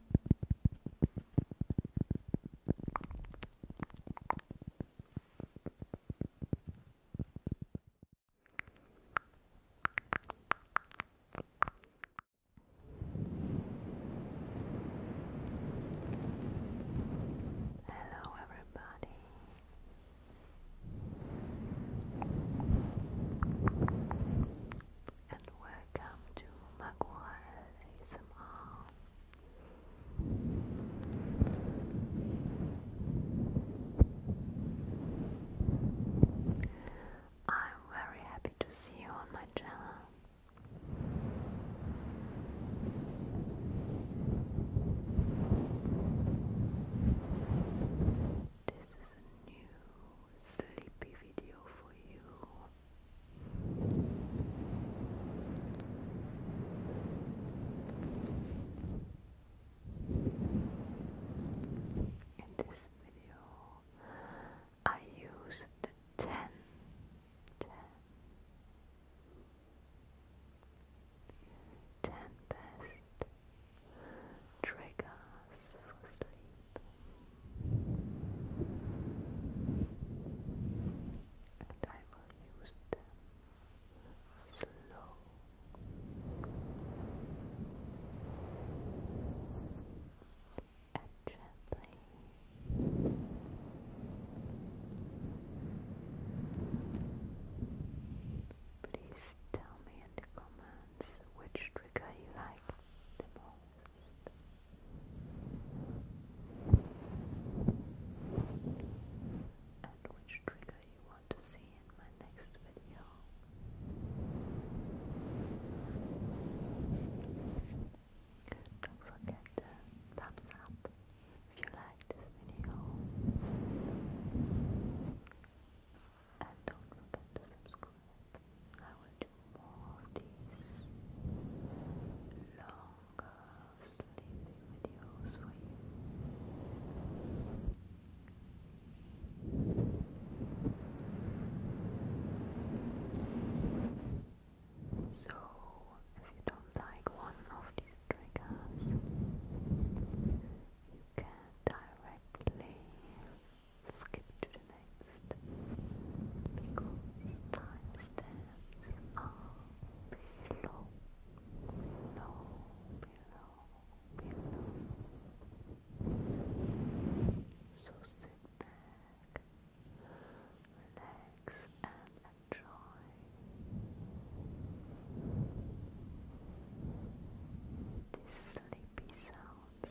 Hello, everybody welcome to Maguire ASMR. I'm very happy to see you on my channel. This is a new sleepy video for you. In this video, I use the ten, ten, ten best triggers for sleep and I will use them slow. And gently Please tell me in the comments which trigger you like the most and which trigger you want to see in my next video. Don't forget the thumbs up if you like this video. And don't forget to subscribe. I will do more of these longer sleeping videos for you. So, if you don't like one of these triggers, you can directly skip to the next because timestamps are below, below, below. So sit back, relax, and enjoy. These sleepy sounds.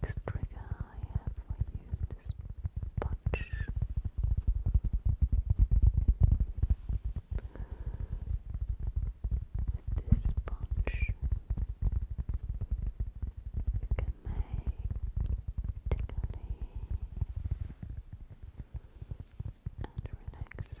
Next trigger I have for you is this punch. This sponge can make tickling and relaxing tapping sounds slow and fast.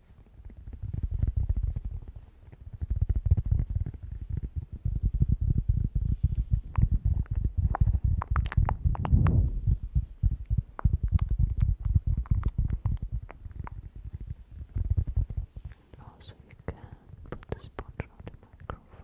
And also you can put the sponge on the microphone.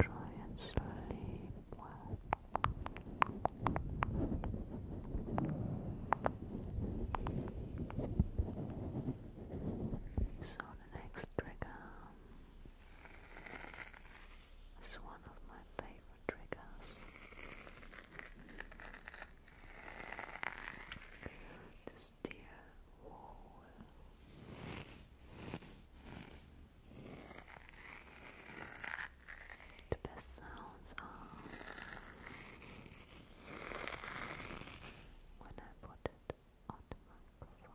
Try and sleep well. So the next trigger is one of my favorite triggers the steel wall. The best sounds are when I put it on the microphone.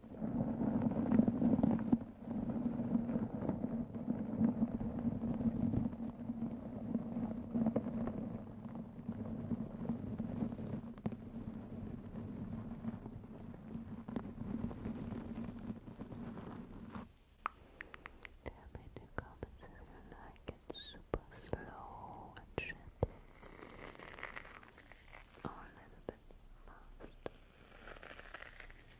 Tell me in the comments if you like it super slow and gentle or oh, a little bit fast.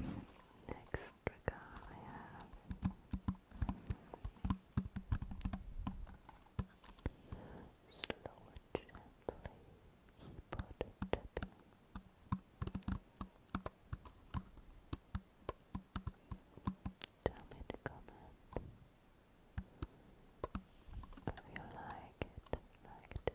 Next trigger I have slow and gently keyboard tapping. Tell me in the comment if you like it like this.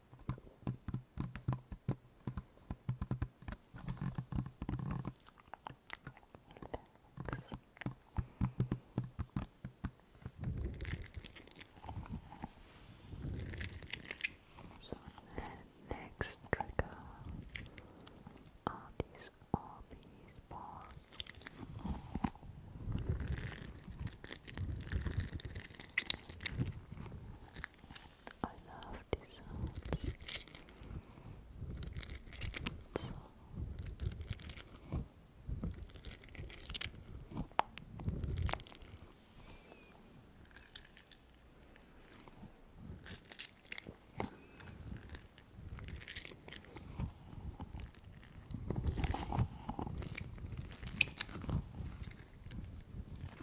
So next trigger are these Arby's I love these sounds. So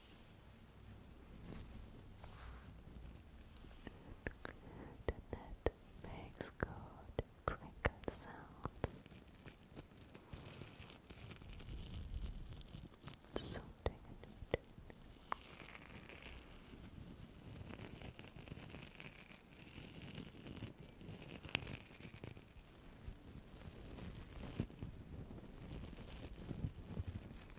The net makes good crinkle sound. So it.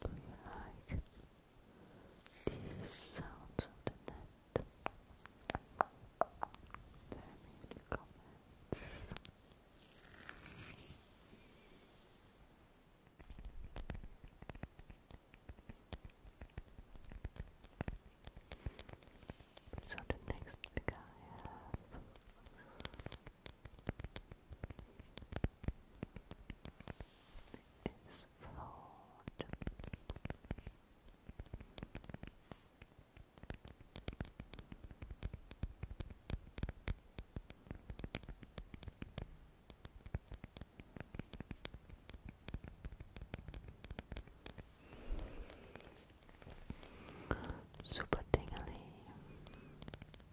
Do you like these sounds on the net? Tell me in So the next thing I have is flawed. Super tingly.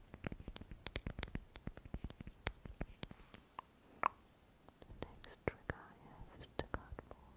The next trick I have is the cardboard float.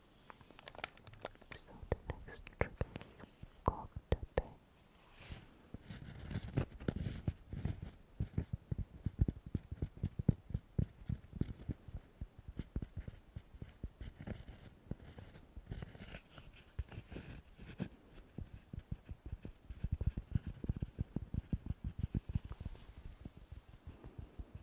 So the next trick is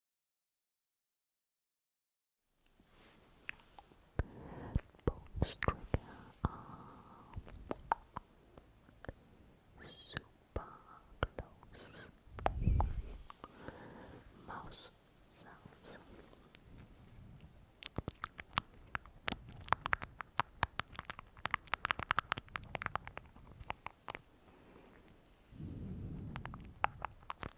Bones Trigger are super close. Mouse sounds.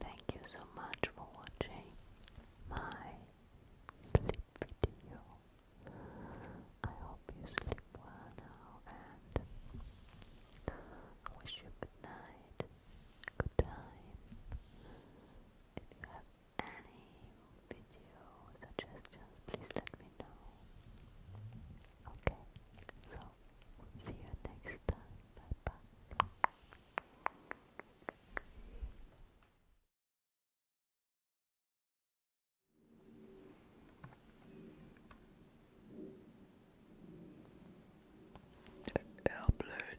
Thank you so much for watching my sleep video. I hope you sleep well now and wish you good night, good time any video suggestions, please let me know. Okay, so see you next time. Bye bye. Airplane.